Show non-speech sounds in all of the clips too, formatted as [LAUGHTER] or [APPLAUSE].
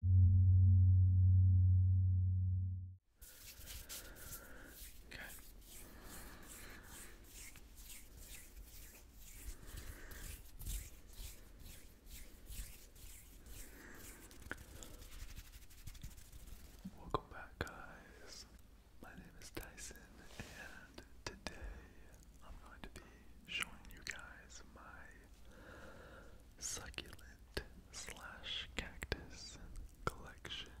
Okay. Welcome back, guys. My name is Tyson, and today I'm going to be showing you guys my succulent slash cactus collection.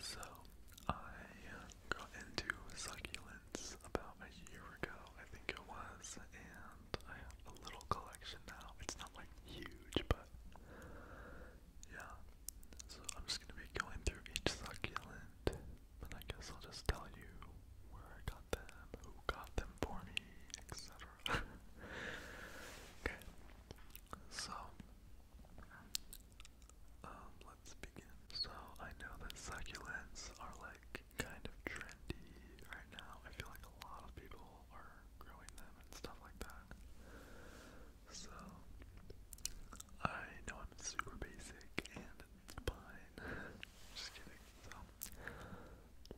so I got into succulents about a year ago, I think it was, and I have a little collection now. It's not like huge, but yeah. So I'm just gonna be going through each succulent I guess I'll just tell you where I got them, who got them for me, etc. [LAUGHS] okay. So, um, let's begin. So, I know that succulents are like kind of trendy right now. I feel like a lot of people are growing them and stuff like that. So, I know I'm super basic and fine. [LAUGHS] Just kidding. So,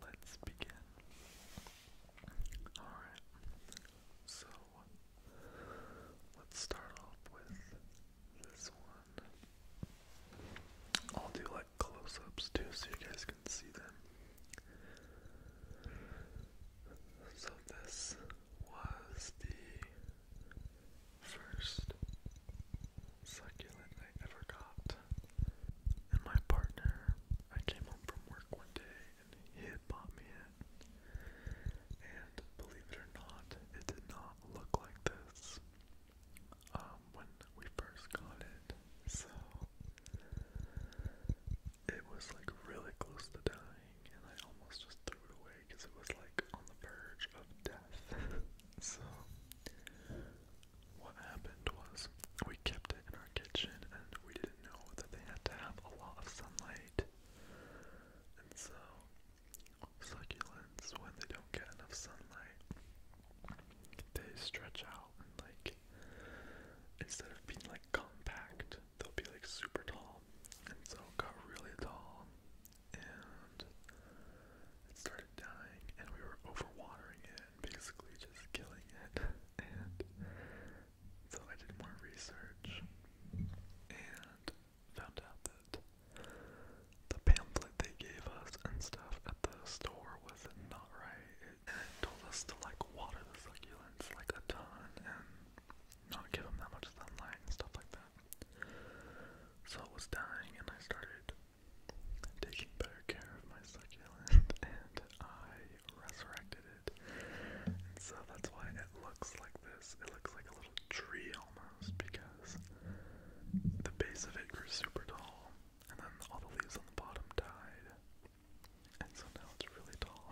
let's begin. Alright. So, let's start off with this one. I'll do like close ups too so you guys can see them. So, this was the first succulent I ever got. And my partner, I came home from work one day and he bought me it. And believe it or not, it did not look like this um, when we first got it. So it was like really close to dying and I almost just threw it away because it was like on the verge of death. [LAUGHS] So, what happened was we kept it in our kitchen and we didn't know that they had to have a lot of sunlight. And so, succulents, when they don't get enough sunlight, they stretch out and, like, instead of being like compact, they'll be like super tall. And so, it got really tall and it started dying, and we were overwatering it basically just killing it. [LAUGHS] and so I did more research and found out that the pamphlet they gave us and stuff at the store was not right. it told us to like water the succulents like a ton and not give them that much sunlight and stuff like that. So it was dying, and I started taking better care of my succulent, [LAUGHS] and I resurrected it. And so that's why it looks like this. It looks like a little tree almost, because the base of it grew super tall, and then all the leaves on the bottom died. And so now it's really tall.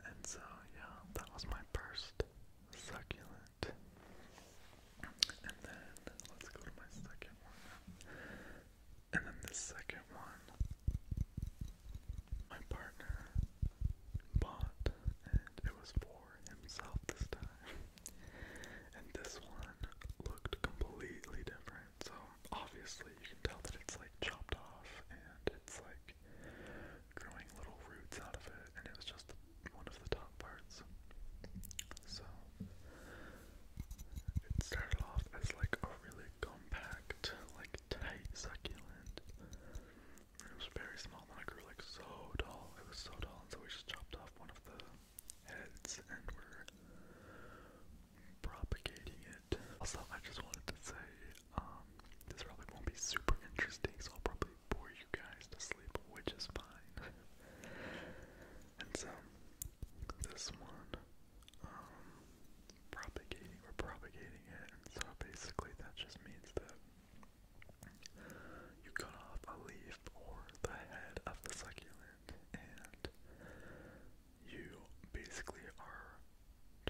[LAUGHS] and so, yeah, that was my first succulent that. And then let's go to my second one. And then the second one, my partner bought, and it was for himself this time. And this one looked completely different. So obviously you can tell that it's like chopped off and it's like growing little roots out of it, and it was just one of the top parts. So it started off as like a really compact, like tight succulent. It was very small, then I grew like so tall. It was so tall, and so we just chopped off one of the heads and we're propagating it. Also, I just wanted to say, um, this probably won't be super interesting, so I'll probably and you guys to sleep, which is fine. [LAUGHS] and so, this one, um, propagating, we're propagating it, so basically that just means that you cut off a leaf or the head of the succulent, and you basically are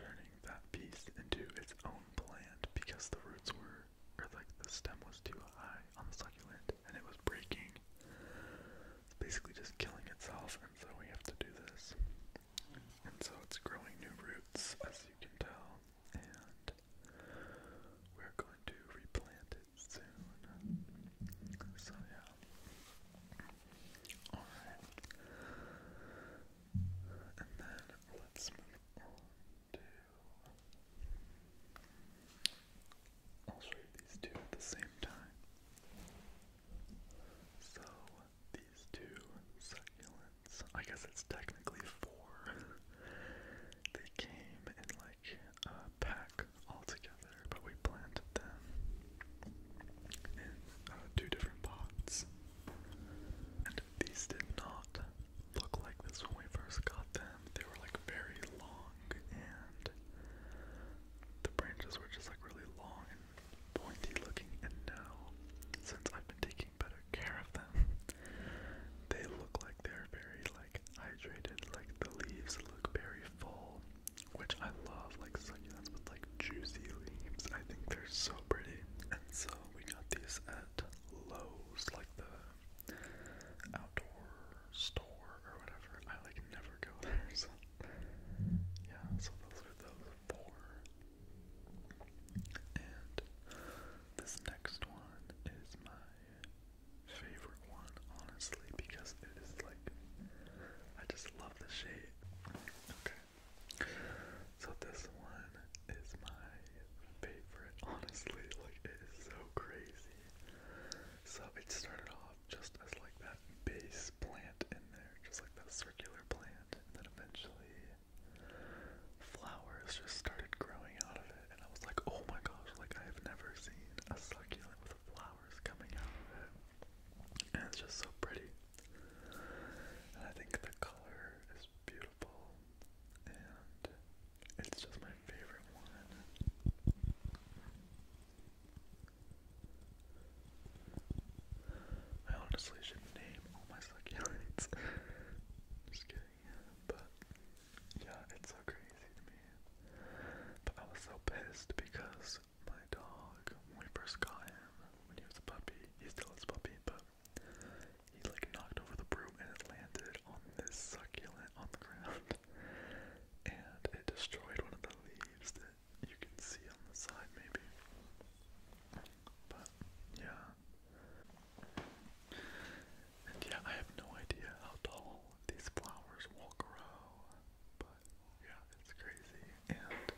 turning that piece into its own plant because the roots were or like the stem was too high on the succulent and it was breaking. It's basically just killing itself, and so we have to do this. And so it's growing new roots, as you can tell, and we're going to replant it soon. So, yeah. Alright. And then let's move on to I'll show you these two at the same time. So these two succulents, I guess it's technically four. [LAUGHS] they came in like a pack all together, but we planted them in uh, two different pots. And these did not look like this when we first got them. They were like very long and the branches were just like really long and pointy looking and now since I've been taking better care of them they look like they're very like hydrated like the leaves look very full which I love like succulents with like juicy leaves I think they're so pretty and so we got these at Lowe's like the outdoor store or whatever. I like never go there, [LAUGHS] yeah. So those are those four. And this next one is my favorite one, honestly, because it is like I just love the shape. Okay. So this one is my favorite, honestly. Like, it is so crazy. So, it started off just as like that base plant in there, just like that circular plant, and then eventually flowers just started growing out of it. And I was like, oh my gosh, like, I have never seen a succulent with flowers coming out of it. And it's just so pretty. And I think the color is beautiful and it's just my favorite one. I honestly should name all my succulents. [LAUGHS] Just kidding, but yeah, it's so crazy to me. But I was so pissed because my dog, when we first got him, when he was a puppy, he still a puppy, but he like knocked over the broom and it landed on this succulent on the ground. [LAUGHS] And it destroyed one of the leaves that you can see on the side maybe. But yeah. And yeah, I have no idea how tall these flowers will grow. But yeah, it's crazy. And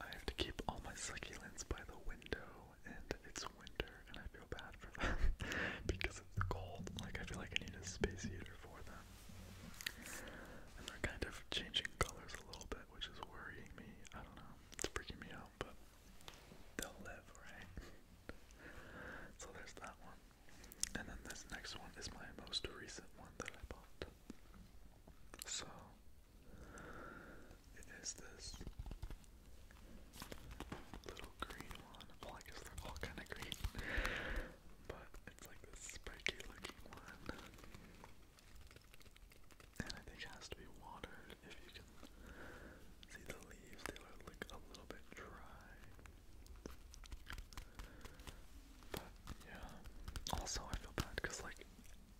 I have to keep all my succulents by the window, and it's winter, and I feel bad for them [LAUGHS] because it's cold. Like, I feel like I need a space heater for them. And they're kind of changing colors a little bit, which is worrying me. I don't know. It's freaking me out, but they'll live, right? [LAUGHS] so there's that one. And then this next one is my most recent one that I bought. So it is this little green one. Well, I guess they're all kind of green, but it's like this spiky looking one. And I think has to be watered. If you can see the leaves, they are a little bit dry. But yeah. Also, I feel bad because like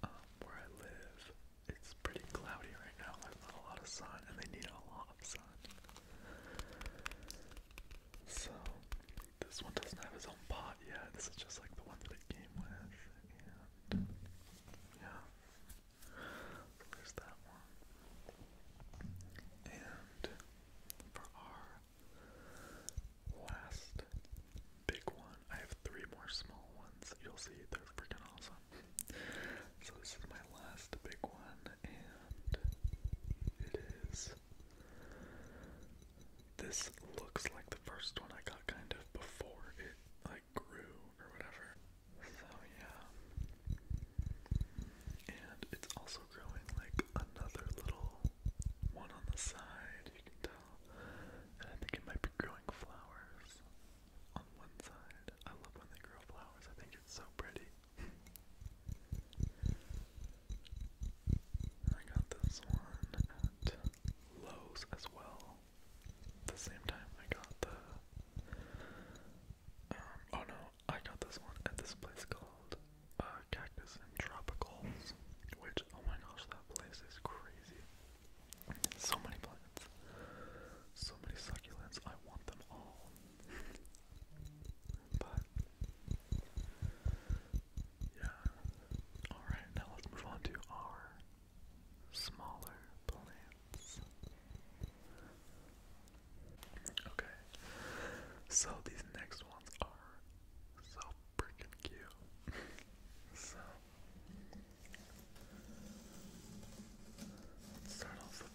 where I live, it's pretty cloudy right now. There's not a lot of sun, and they need a lot of sun. So, this one doesn't have his own pot yet. This is just like the one that it came with. And, yeah. there's that one. And for our last big one. I have three more small ones. You'll see, they're freaking awesome. So, this is my last big one, and it is. This looks like the first one I got kind of before it like grew or whatever. So yeah. And it's also growing like another little one on the side, you can tell and I think it might be growing flowers on one side. I love when they grow flowers, I think it's so pretty. I got this one at Lowe's as well. At The same time I got the. Um, oh no, I got this one at this place called uh, Cactus and Tropicals, which, oh my gosh, that place is crazy. So many plants. So many succulents. I want them all. [LAUGHS] but yeah. Alright, now let's move on to our smaller plants. Okay. So these next ones are so freaking cute. [LAUGHS] so let with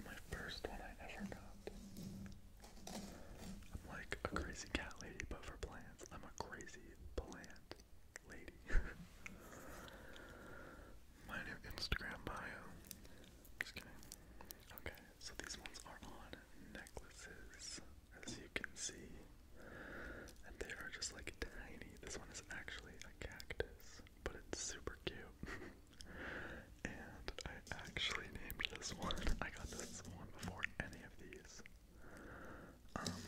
my first one I ever got. I'm like a crazy cat lady, but for plants. I'm a crazy plant lady. [LAUGHS] my new Instagram bio. Just kidding. Okay, so these ones are on necklaces as you can see. And they are just like tiny. This one is actually a cactus, but it's super cute. [LAUGHS] and I actually named this one. [LAUGHS] I got this one before any of these. Um,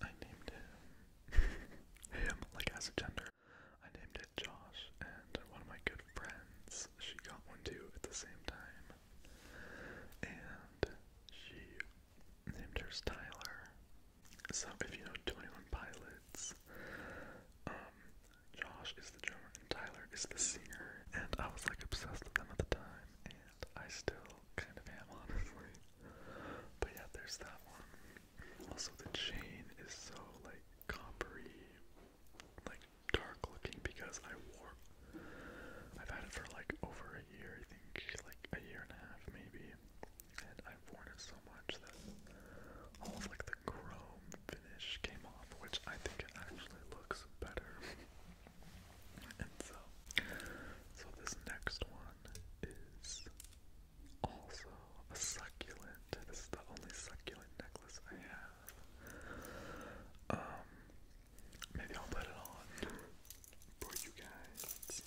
I named him [LAUGHS] him like as a gender. I named it Josh, and one of my good friends she got one too at the same time and she named hers Tyler. So if you know 21 Pilots, um, Josh is the drummer and Tyler is the singer, and I was like obsessed with them at the time, and I still kind of am, [LAUGHS] honestly. But yeah, there's that one. Also, the chain is so like coppery, like dark looking because I wore. I've had it for like over year, I think, like a year and a half maybe. And I've worn it so much that all of like the chrome finish came off, which I think it actually looks better. and so, so this next one is also a succulent. This is the only succulent necklace I have. Um, Maybe I'll put it on for you guys.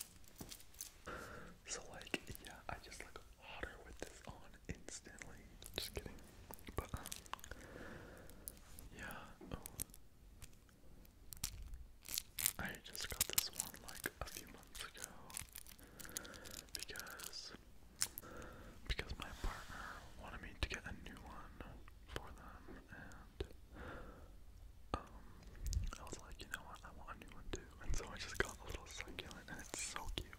So like, yeah, I just look hotter with this on instantly. Just kidding. But um, yeah. Oh. I just got this one like a few months ago because because my partner wanted me to get a new one for them confirmed. Um, I was like, you know what, I want a new one too, and so I just got a little succulent, and it's so cute.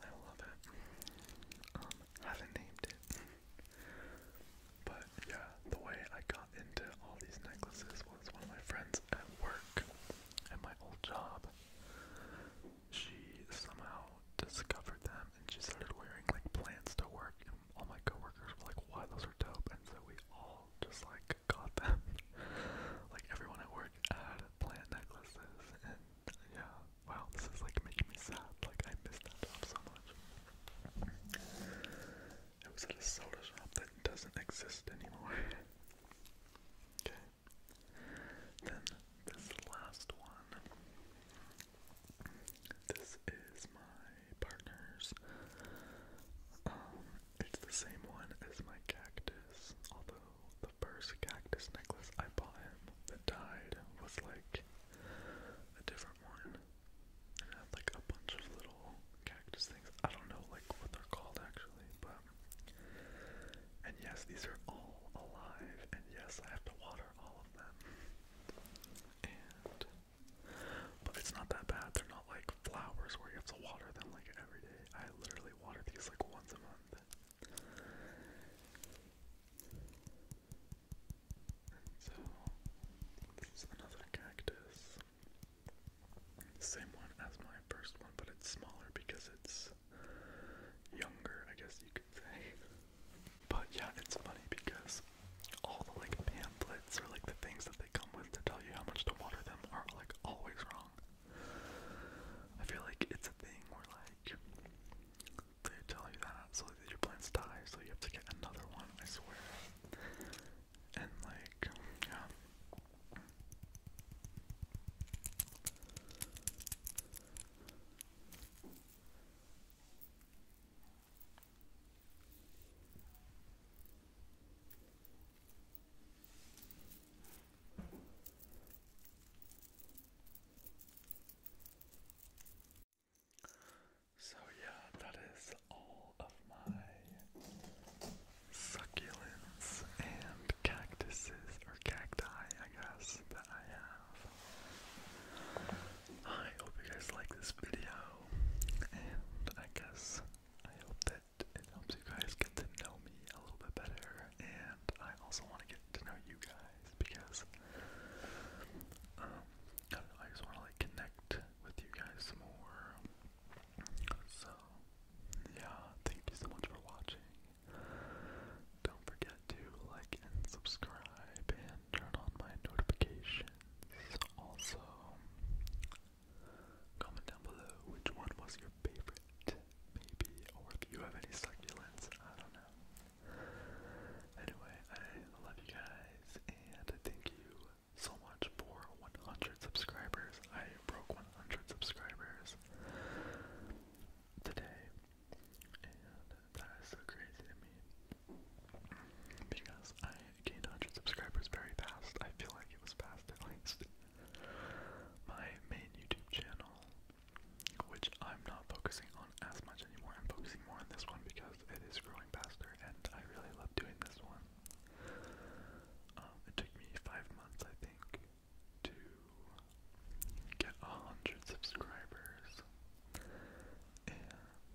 I love it. Um, haven't named it, but yeah, the way I got into all these necklaces was one of my friends at work, at my old job. She somehow discovered them, and she started wearing like plants to work, all my coworkers were like, "Wow, those are dope," and so we all just like got them. [LAUGHS] like everyone at work had plant necklaces, and yeah, wow, this is like making me sad. Like I miss that job so much. It was at a soda shop that doesn't exist anymore. [LAUGHS] okay. Then this last one this is my partner's. Um, it's the same one as my cactus, although the first cactus necklace I bought him that died was like a different one. like a bunch of little cactus things. I don't know like what they're called actually, but and yes, these are all alive, and yes, I have to water all of them but it's not that bad. They're not like flowers where you have to water them like every day. I literally water these like once a month. so this is another cactus. same one as my first one, but it's smaller because it's younger, I guess you could say. [LAUGHS] But yeah, it's funny because all the like pamphlets or like the things that they come with to tell you how much to water them are like always wrong. I feel like it's a thing where like they tell you that so that your plants die, so you have to get another one, I swear. And like, yeah. So, yeah, that is all of my succulents and cactuses, or cacti, I guess, that I have. I hope you guys like this video, and I guess I hope that it helps you guys get to know me a little bit better. And I also want to get to know you guys because um, I just want to like connect with you guys more. So yeah, thank you so much for watching. Don't forget to like and subscribe and turn on my notifications. Also, comment down below which one was your favorite, maybe, or if you have any succulents. I don't know. Anyway, I love you guys and thank you so much for 100 subscribers. I broke 100 subscribers today that is so crazy to me because I gained 100 subscribers very fast. I feel like it was fast at least. My main YouTube channel, which I'm not focusing on as much anymore, I'm focusing more on this one because it is growing faster and I really love doing this one. Um, it took me five months, I think, to get a hundred subscribers. And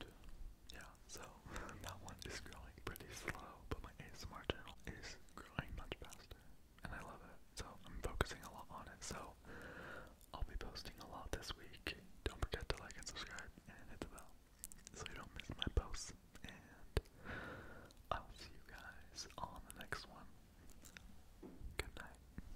yeah, so [LAUGHS] that one is growing pretty slow, but my ASMR channel is growing much faster, and I love it. So I'm focusing a lot on it. So I'll be posting a lot this week. Don't forget to like and subscribe and hit the bell so you don't miss my posts. And I'll see you guys on the next one. Good night.